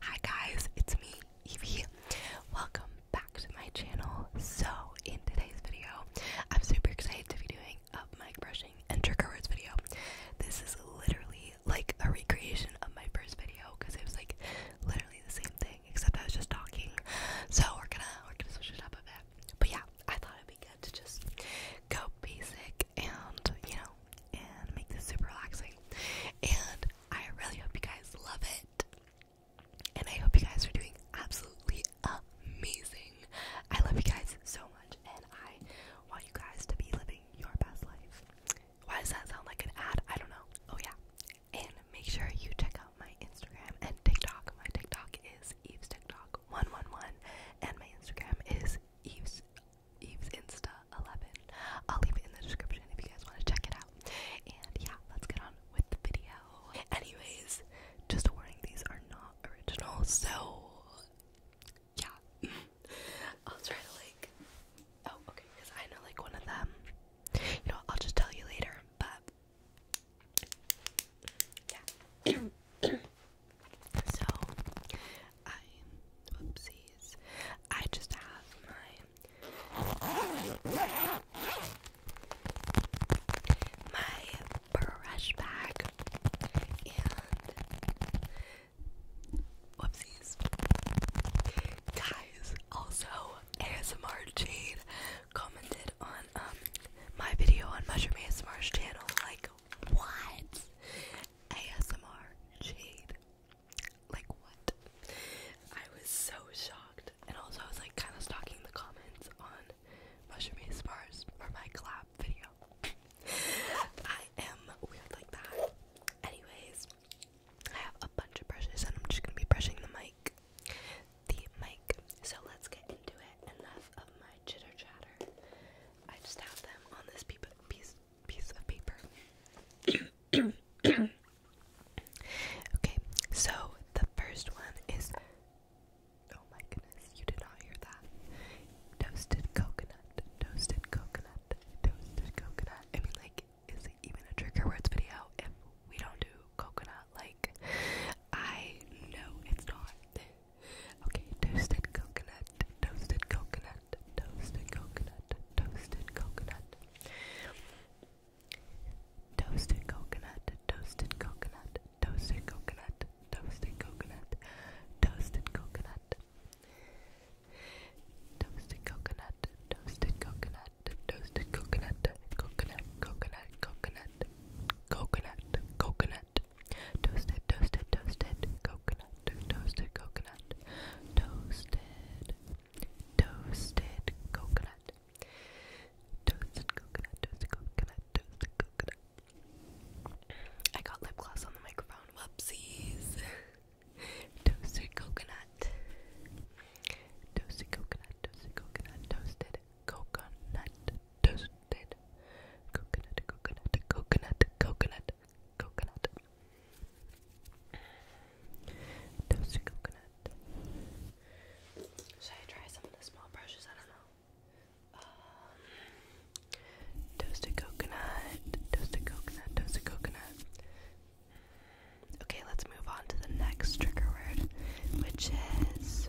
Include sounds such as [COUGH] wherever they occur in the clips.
Hi guys, it's me, Evie. Welcome back to my channel. So, in today's video, I'm super excited to be doing a mic brushing and trigger words video. This is literally like a recreation of my first video because it was like literally the same thing except I was just talking. So, we're gonna we're gonna switch it up a bit. But yeah, I thought it'd be good to just go basic and, you know, and make this super relaxing. And I really hope you guys love it. And I hope you guys are doing absolutely amazing. I love you guys so much and I want you guys to be living your best life. Why does that sound like an ad? I don't know. Oh yeah. And make sure you check out my Instagram and TikTok. My TikTok is Eve's TikTok 111 and my Instagram is Eve's Eve's Insta 11. I'll leave it in the description if you guys want to check it out. And yeah, let's get on with the video. Anyways, just a warning, these are not original, so yeah. [LAUGHS] I'll try to like, oh, okay, because I know like one of them. You know, I'll just tell you later, but yeah. [CLEARS THROAT] so, I, whoopsies, I just have my, my brush bag, and, whoopsies, guys, also, ASMR Jade commented on, um, my video on Mushroom ASMR's channel, like, what? ASMR Jade. Like what? I was so shocked. And also I was like kinda stalking the comments on Mushroom Spars for my collab video. I am weird like that. Anyways, I have a bunch of brushes and I'm just gonna be brushing the mic. The mic. So let's get into it. Enough of my chitter chatter. I just have them on this piece piece of paper. okay, so the first one is oh my goodness, you did not hear that. Toasted coconut, toasted coconut, toasted coconut. I mean, like, is it even a trick trigger words video if we don't do coconut? Like, I know it's not. Okay, toasted coconut, toasted coconut, toasted coconut, toasted coconut. Toasted coconut, toasted coconut, toasted coconut, toasted coconut, toasted coconut. Toasted coconut, coconut, coconut, coconut, coconut, coconut, coconut, Toasted, toasted, toasted coconut, toasted coconut, toasted, toasted coconut, toasted coconut, toasted coconut, toasted coconut. I got lip gloss on the microphone. Whoopsies. toasted coconut, toasted coconut, toasted coconut, toasted coconut, toasted Coconut, coconut, coconut, coconut, coconut. Toasted coconut. Should I try some of the small brushes? I don't know. Um, toasted coconut, toasted coconut, toasted coconut. Okay, let's move on to the next trigger word, which is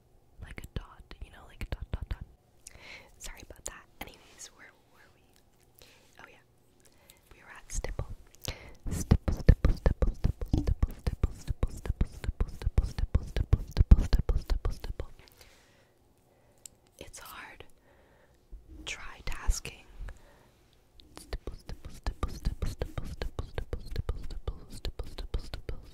like a dot, you know, like a dot, dot, dot. Sorry about that. Anyways, where were we? Oh yeah, we were at stipple. Stipple, stipple, stipple, stipple, stipple, stipple, stipple, stipple, stipple, stipple, stipple, stipple, stipple, stipple, stipple, It's hard. Try tasking. Stipple, stipple, stipple, stipple, stipple, stipple, stipple, stipple, stipple, stipple, stipple, stipple,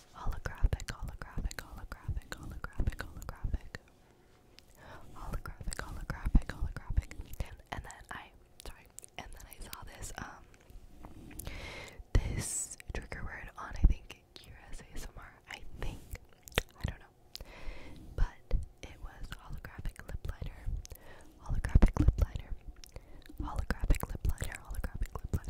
holographic, holographic, holographic, holographic, holographic, holographic, holographic, holographic, and then I, sorry, and then I saw this, um, this trigger word on, I think, Kira's ASMR, I think, I don't know, but it was holographic lip liner, holographic lip liner, holographic lip liner, holographic lip liner,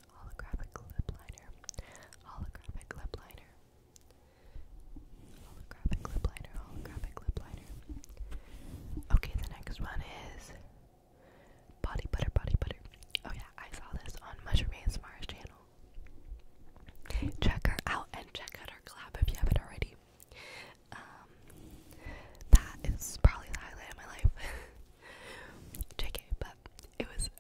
holographic lip liner, holographic lip liner, holographic lip liner, holographic lip liner. Okay, the next one is body butter, body butter. Oh yeah, I saw this on Mushroom ASMR's channel. Check her out and check out her collab if you haven't already. Um, that is probably the highlight of my life. JK, [LAUGHS] but it was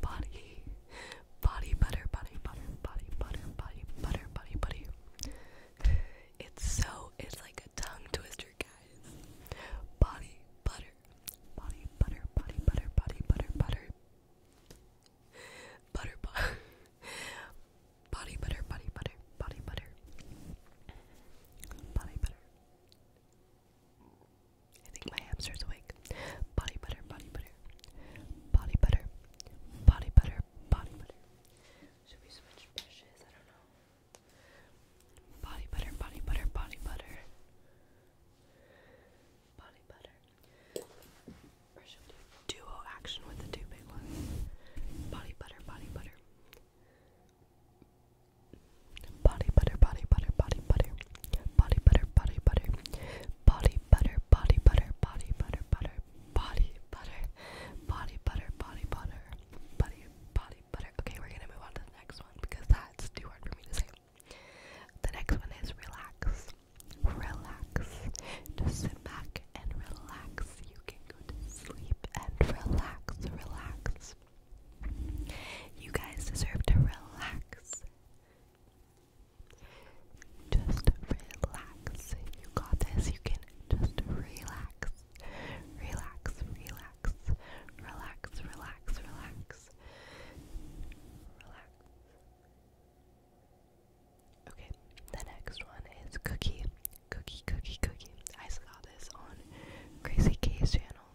body, body butter, body butter, body butter, body butter, body body. It's so it's like a tongue twister, guys. Body butter, body butter, body butter, body butter, butter, butter, butter. [LAUGHS] body butter, body butter, body butter, body butter. I think my hamster's awake. Body butter, body butter, body butter, body butter, body butter. Should we switch brushes? I don't know. Body butter, body butter, body butter, body butter. Or should we do duo action with the two big ones? Body butter, body butter. Body butter, body butter, body butter body butter, body butter, body butter, body butter, body butter, butter, body butter, body butter, body butter, body body butter. Okay, we're gonna move on to the next one because that's too hard for me to say. The next one is relax, relax. Just sit back and relax. You can go to sleep and relax, relax. You guys deserve to relax. Just relax. You got this. You can just relax. Relax, relax. Relax, relax, relax. Relax. Okay, the next one is Cookie. Cookie, cookie, cookie. I saw this on Crazy K's channel.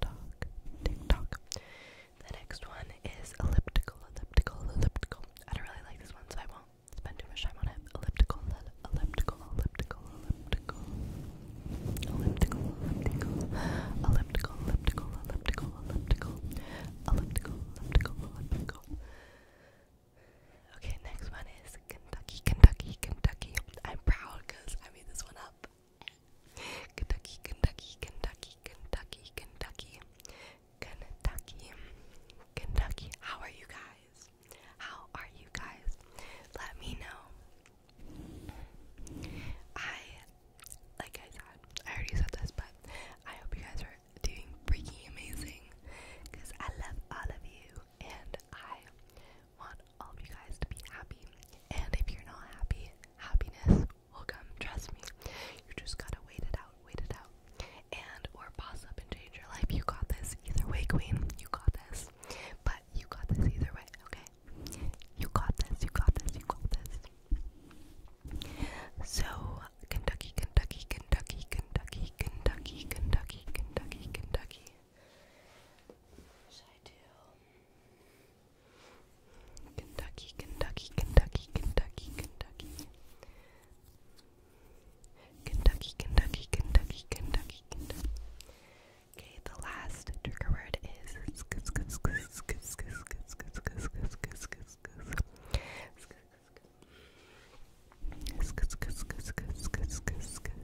tock, tick The next one is elliptical, elliptical, elliptical. I don't really like this one, so I won't spend too much time on it. elliptical, elliptical, elliptical, elliptical, elliptical, elliptical, elliptical, elliptical, elliptical, elliptical. Okay, next one is Kentucky, Kentucky, Kentucky. I'm proud because I made this one up. Kentucky, Kentucky, Kentucky, Kentucky, Kentucky, Kentucky, Kentucky. How are you guys? How are you guys? Let me know. I, like I said, I already said this, but I hope you guys are doing freaking amazing because I love all of you and I want all of you guys to be happy. And if you're not happy, happiness will come, trust me. You just gotta wait it out, wait it out. And or boss up and change your life. You got this either way, Queen. You got this. But you got this either way, okay? You got this, you got this, you got this. So Kentucky, Kentucky, Kentucky, Kentucky, Kentucky, Kentucky, Kentucky, Kentucky. I do Kentucky, Kentucky, Kentucky, Kentucky, Kentucky, Kentucky, Kentucky, Kentucky, Kentucky, Okay, the last trigger word is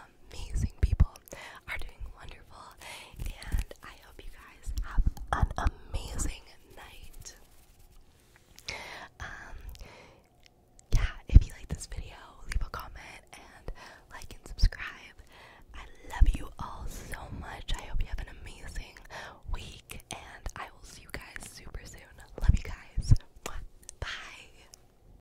amazing people are doing wonderful, and I hope you guys have an amazing night. Um, yeah, if you like this video, leave a comment and like and subscribe. I love you all so much. I hope you have an amazing week, and I will see you guys super soon. Love you guys. Bye.